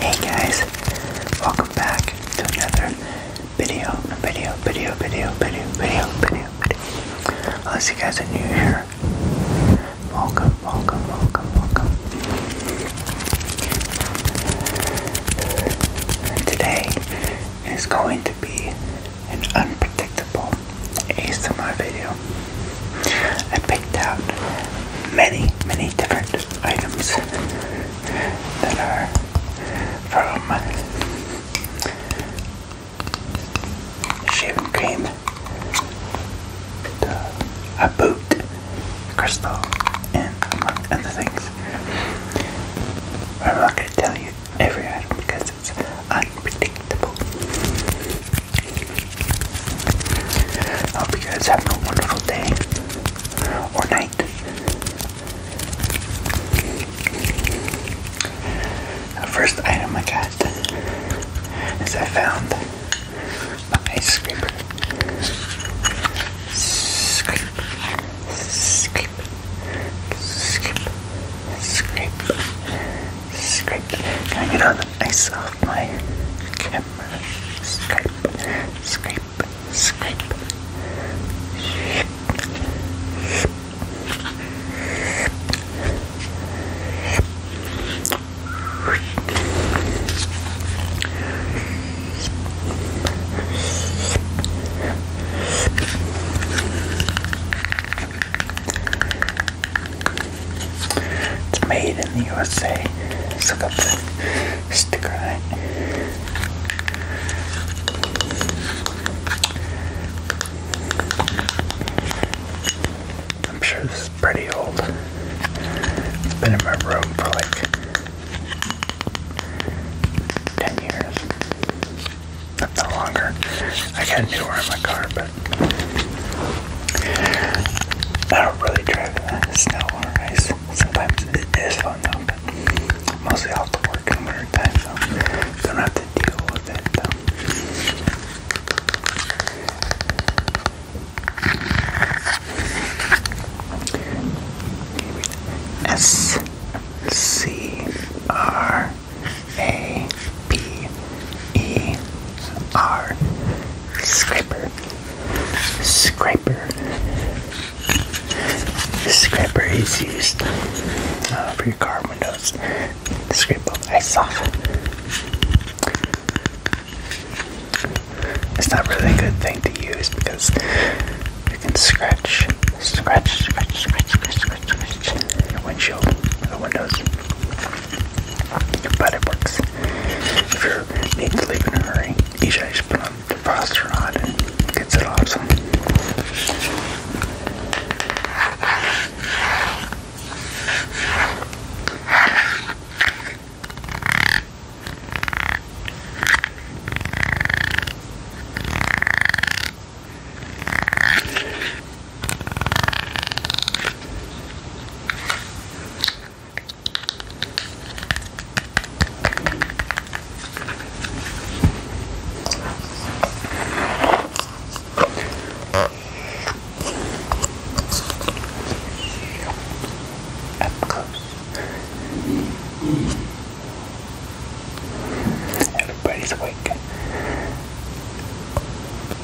Hey guys, welcome back to another video, video, video, video, video, video, video, video. Unless you guys are new here, welcome, welcome, welcome, welcome. Today is going to be an unpredictable simple ASMR video. I picked out many, many different items that are from shaving cream a boot, crystal, and among other things. I'm not going to tell you every item because it's I hope you guys have a wonderful day or night. The first item I got is I found a ice scraper. Scrape, scrape, scrape. Can I get all the ice off my camera? Scrape, scrape, scrape. It's made in the USA. So got the sticker I'm sure this is pretty old. It's been in my room for like 10 years. If not longer. I got a new one in my car, but I don't really drive in the snow or ice. Sometimes it is fun though, but mostly have to work in winter time, so don't have to deal with it though. S C R a B E R Scraper Scraper the scraper is used for your car windows to scrape all the ice off. It's not really a good thing to use because you can scratch, scratch, scratch, scratch, scratch, scratch, scratch your windshield or windows your body works. If you need to leave in a hurry, you should just put on the frost rod and gets it awesome. Up close. Everybody's awake.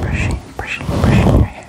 Brushing, brushing, brushing your hair.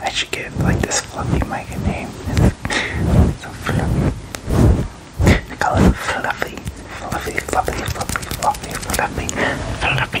I should give like this fluffy mic a name. It's fluffy. call it fluffy. Fluffy, fluffy, fluffy, fluffy, fluffy, fluffy, fluffy.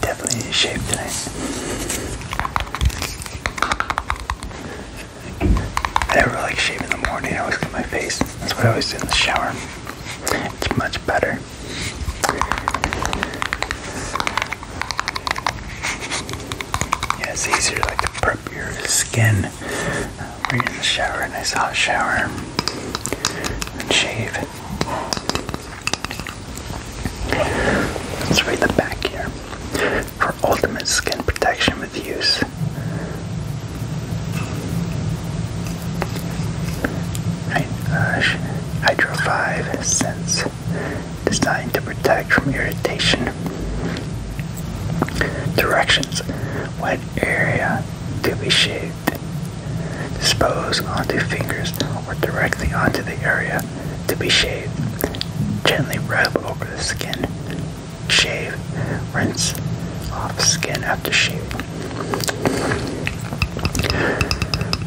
Definitely in shape tonight. I never like shave in the morning. I always cut my face. That's why I always do in the shower. It's much better. Yeah, it's easier like to prep your skin we are in the shower, a nice hot shower, and shave. Let's read the back here. For ultimate skin protection with use. Hydro 5 Sense. Designed to protect from irritation. Directions. Wet area to be shaved. Dispose onto fingers or directly onto the area to be shaved. Gently rub over the skin. Shave. Rinse off skin after shaving.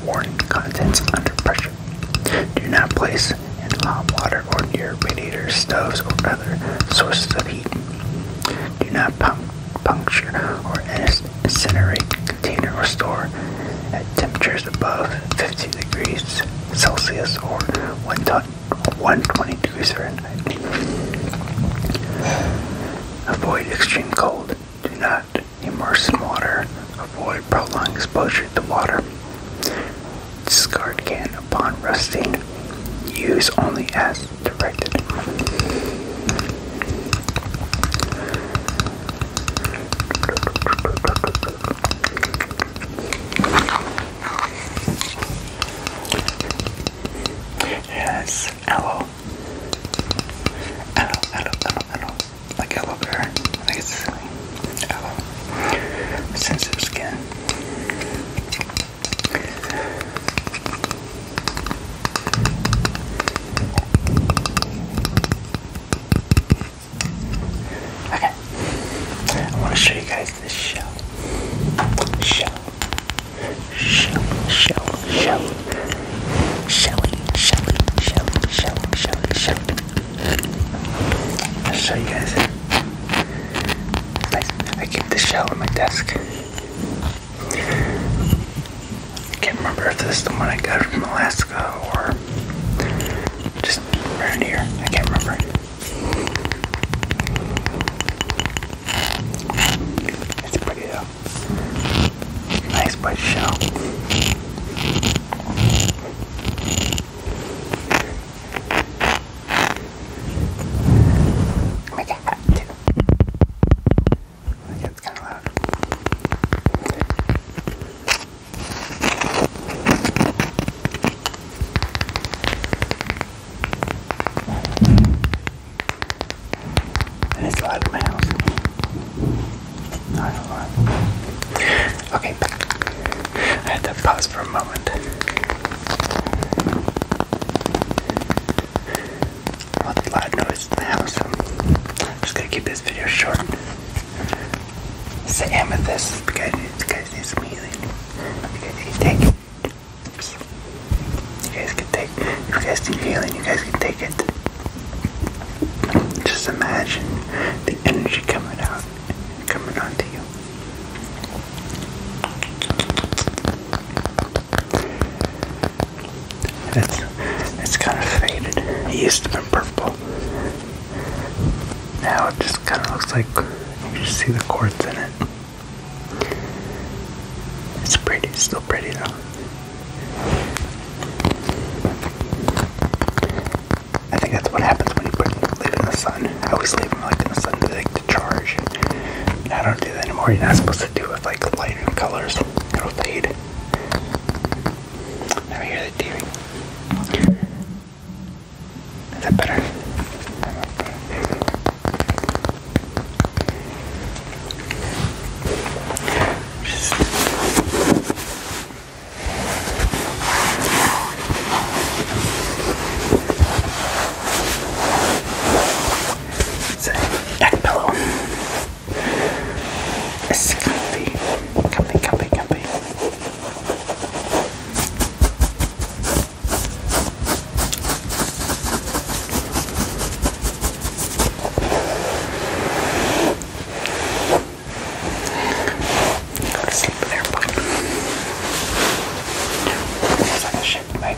Warning contents under pressure. Do not place in hot water or near radiators, stoves, or other sources of heat. Do not puncture or incinerate, container, or store at temperatures above 50 degrees Celsius or 120 degrees Fahrenheit. Avoid extreme cold. Do not immerse in water. Avoid prolonged exposure to water. Discard can upon rusting. Use only as directed. Yes, aloe. Aloe, aloe, aloe, aloe. Like aloe vera. I think it's Sensitive skin. Okay, I want to show you guys this shell. Shell. Shell. Shell. Shell. Shelly. Shelly. Shelly. Shelly. Shelly. Shelly. I'll show you guys. I, I keep the shell on my desk. I can't remember if this is the one I got from Alaska or just around here. I can't remember. It's pretty though. Nice bite shell. Make a too. Yeah, it's kind of loud. And it's loud in my house. Not a lot. Okay, I had to pause for a moment all the loud noise in the house. I'm just gonna keep this video short. It's the amethyst because you guys need healing. You guys can take it. Oops. You guys can take if you guys need healing, you guys can take it. Just imagine the energy coming out coming onto you. It's it's kind of faded. It used to be purple. Now it just kind of looks like you just see the quartz in it. It's pretty, still pretty though. I think that's what happens when you put leave it in the sun. I always leave them like in the sun to like to charge. I don't do that anymore. You're not supposed to do it with like lighter colors. It'll fade. Let me hear the TV. Is that better? Just it's a neck pillow. It's comfy, comfy, comfy, comfy. Go to sleep there, but it's like a ship, mate.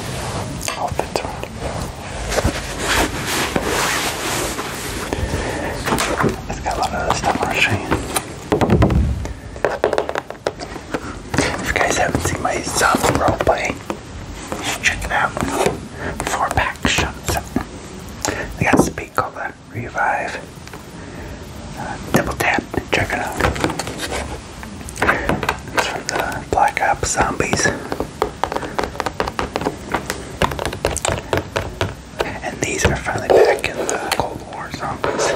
I Off it. It's got a lot of stuff on If you guys haven't seen my zombie roleplay, you check it out. Four pack shots. They got a speed called the Revive. Uh, double tap check it out. It's from the Black Ops Zombies. And these are finally back in the Cold War Zombies.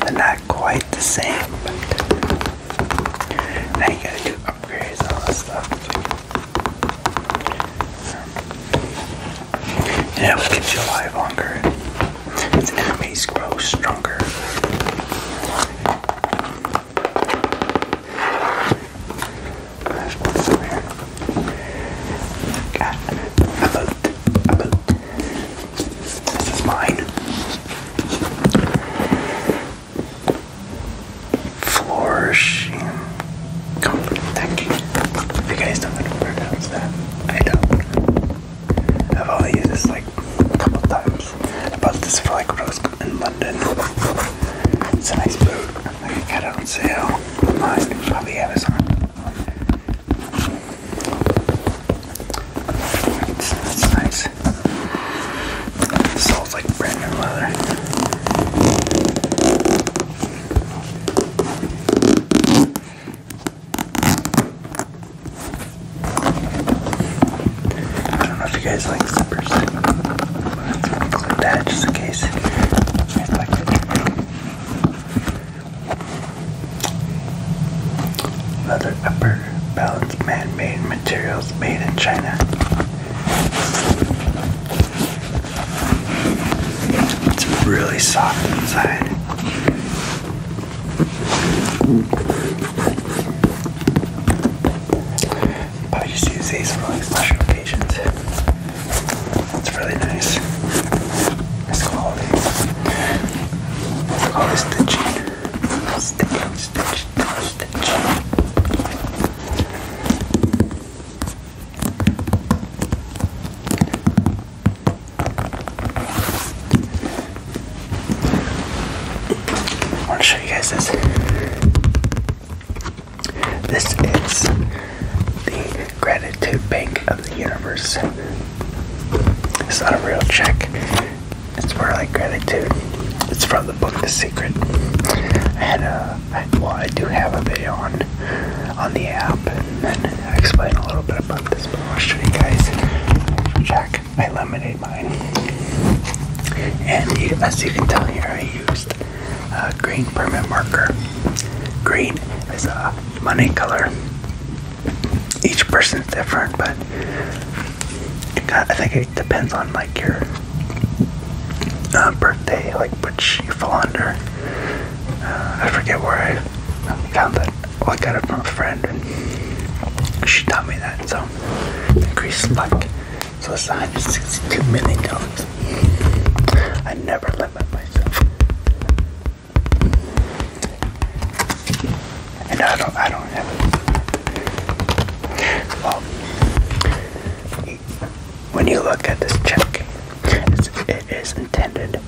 They're not quite the same, but now you gotta do upgrades and all that stuff. Um, it will you alive longer. It's enemies grow stronger. Got a boat. A boat. This is mine. Flourishing comfort. Thank you. you guys don't know pronounce that, I don't. I've only used this like a couple times. I bought this for like when I was in London. It's a nice boot. I got it on sale online, probably Amazon. It's, it's nice. The sole's like brand new leather. I don't know if you guys like zippers. That's what I clipped at just in case Leather upper belts, man-made materials made in China. It's really soft inside. But I just use these for like special occasions. It's really nice. It's quality. It's called stitching. Stitching, stitch, stitch. I want to show you guys this. This is the Gratitude Bank of the Universe. It's not a real check, it's more like gratitude. It's from the book The Secret. I had well, I do have a video on on the app, i explain a little bit about this, but I'll show you guys. Jack, I lemonade mine. And as you can tell here, I used a green permanent marker. Green is a money color. Each person's different, but I think it depends on like your uh, birthday, like which you fall under. Uh, I forget where I found that I got it from a friend, and she taught me that. So increased luck. So it's 162 million dollars. I never limit myself, and I don't. I don't have Well, when you look at this check, it is intended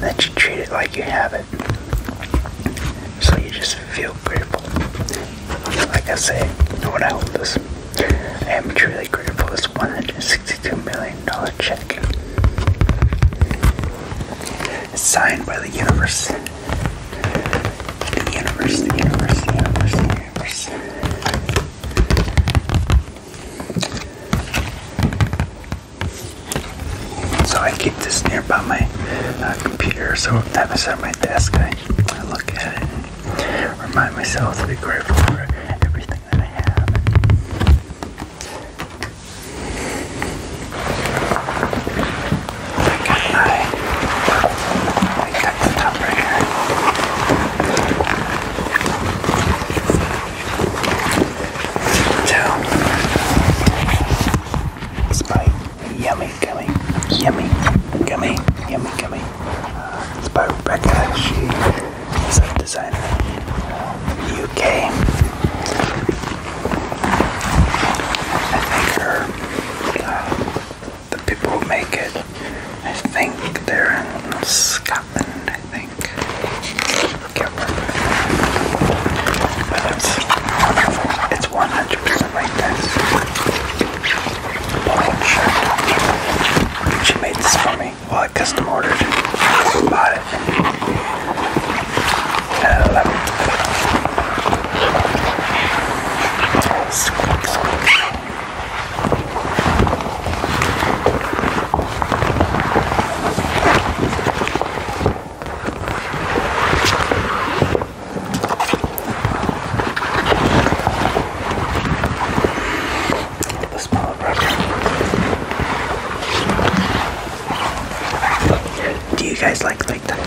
that you treat it like you have it. So you just feel grateful. Like I say, when I hold I am truly grateful this $162 million check. signed by the universe. universe, universe, universe, the universe. So I keep this nearby my uh, computer, so every time I sit at my desk, I, I look at it and remind myself to be grateful for everything that I have. I, I cut the top right here down. It's by Yummy Gummy, Yummy Gummy, Yummy Gummy. Uh, it's Rebecca. She a designer in the UK. the people who make it, I think they're in Scotland, I think. Okay. But it's, it's 100% like this. Polo shirt. She made this for me. Well, I custom ordered. I bought it. And do you guys like like that?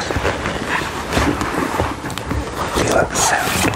Do you love the sound?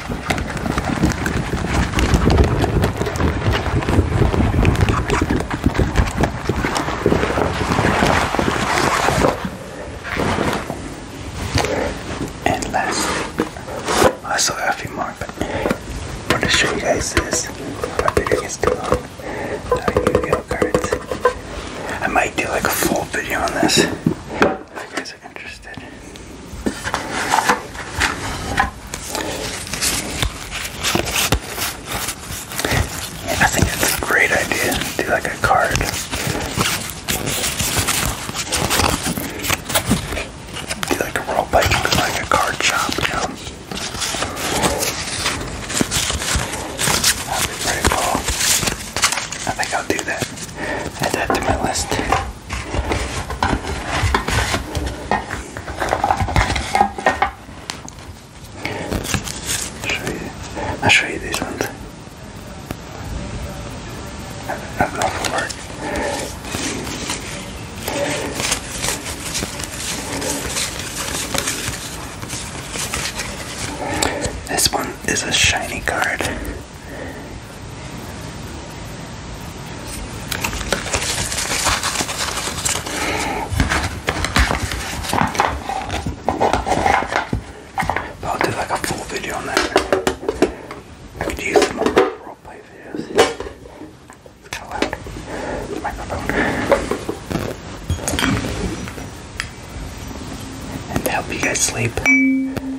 And lastly, I saw a few more, but I want to show you guys this. My video gets too long. The Yu-Gi-Oh cards. I might do like a full video on this. If you guys I think it's a great idea to do like a card. Do like a roll play, like a card shop, you pretty cool. I think I'll do that. Add that to my list show you. I'll show you these ones. I've got for This one is a shiny card. I'll do like a full video on that. I could use them on roleplay It's loud. The microphone. And help you guys sleep.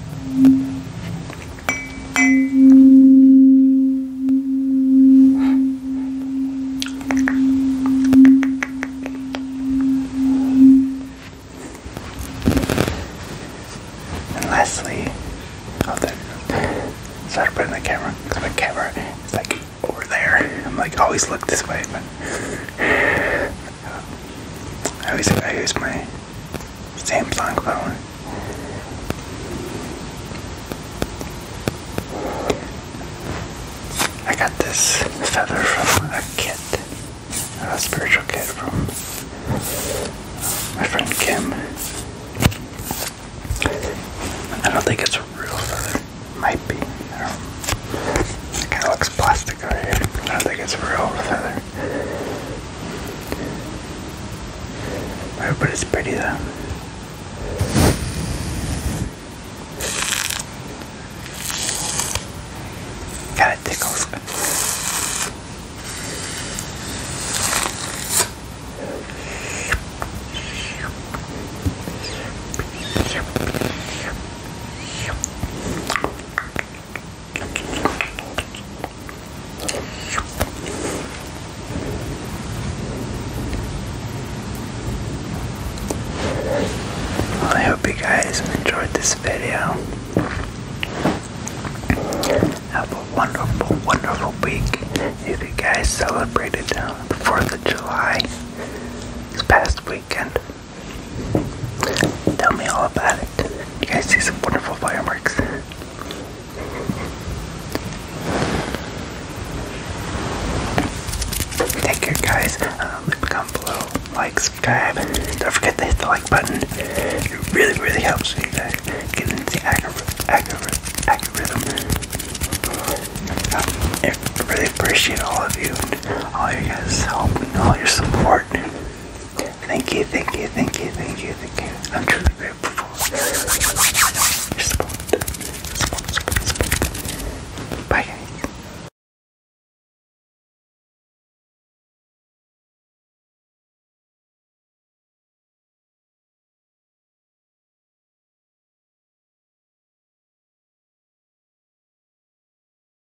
And Leslie, oh, there, started putting the camera, because my camera like over there. I'm like, always look this way, I always think I use my Samsung phone. I got this feather from a kit, a spiritual kit from my friend Kim. I don't think it's a real feather. Might be. I don't It kind of looks plastic right here. I don't think it's a real feather. I but it's pretty though. tickles. I hope you guys enjoyed this video. Have a wonderful, wonderful week. you guys celebrated the uh, 4th of July this past weekend, Tell me all about it. You guys see some wonderful fireworks. Take care, guys. Um, comment below, like, subscribe. Don't forget to hit the like button. It really, really helps me get into the algorithm. Um, I really appreciate all of you all your guys' help and all your support. Thank you, thank you, thank you, thank you, thank you. I'm truly grateful for your support. Bye guys.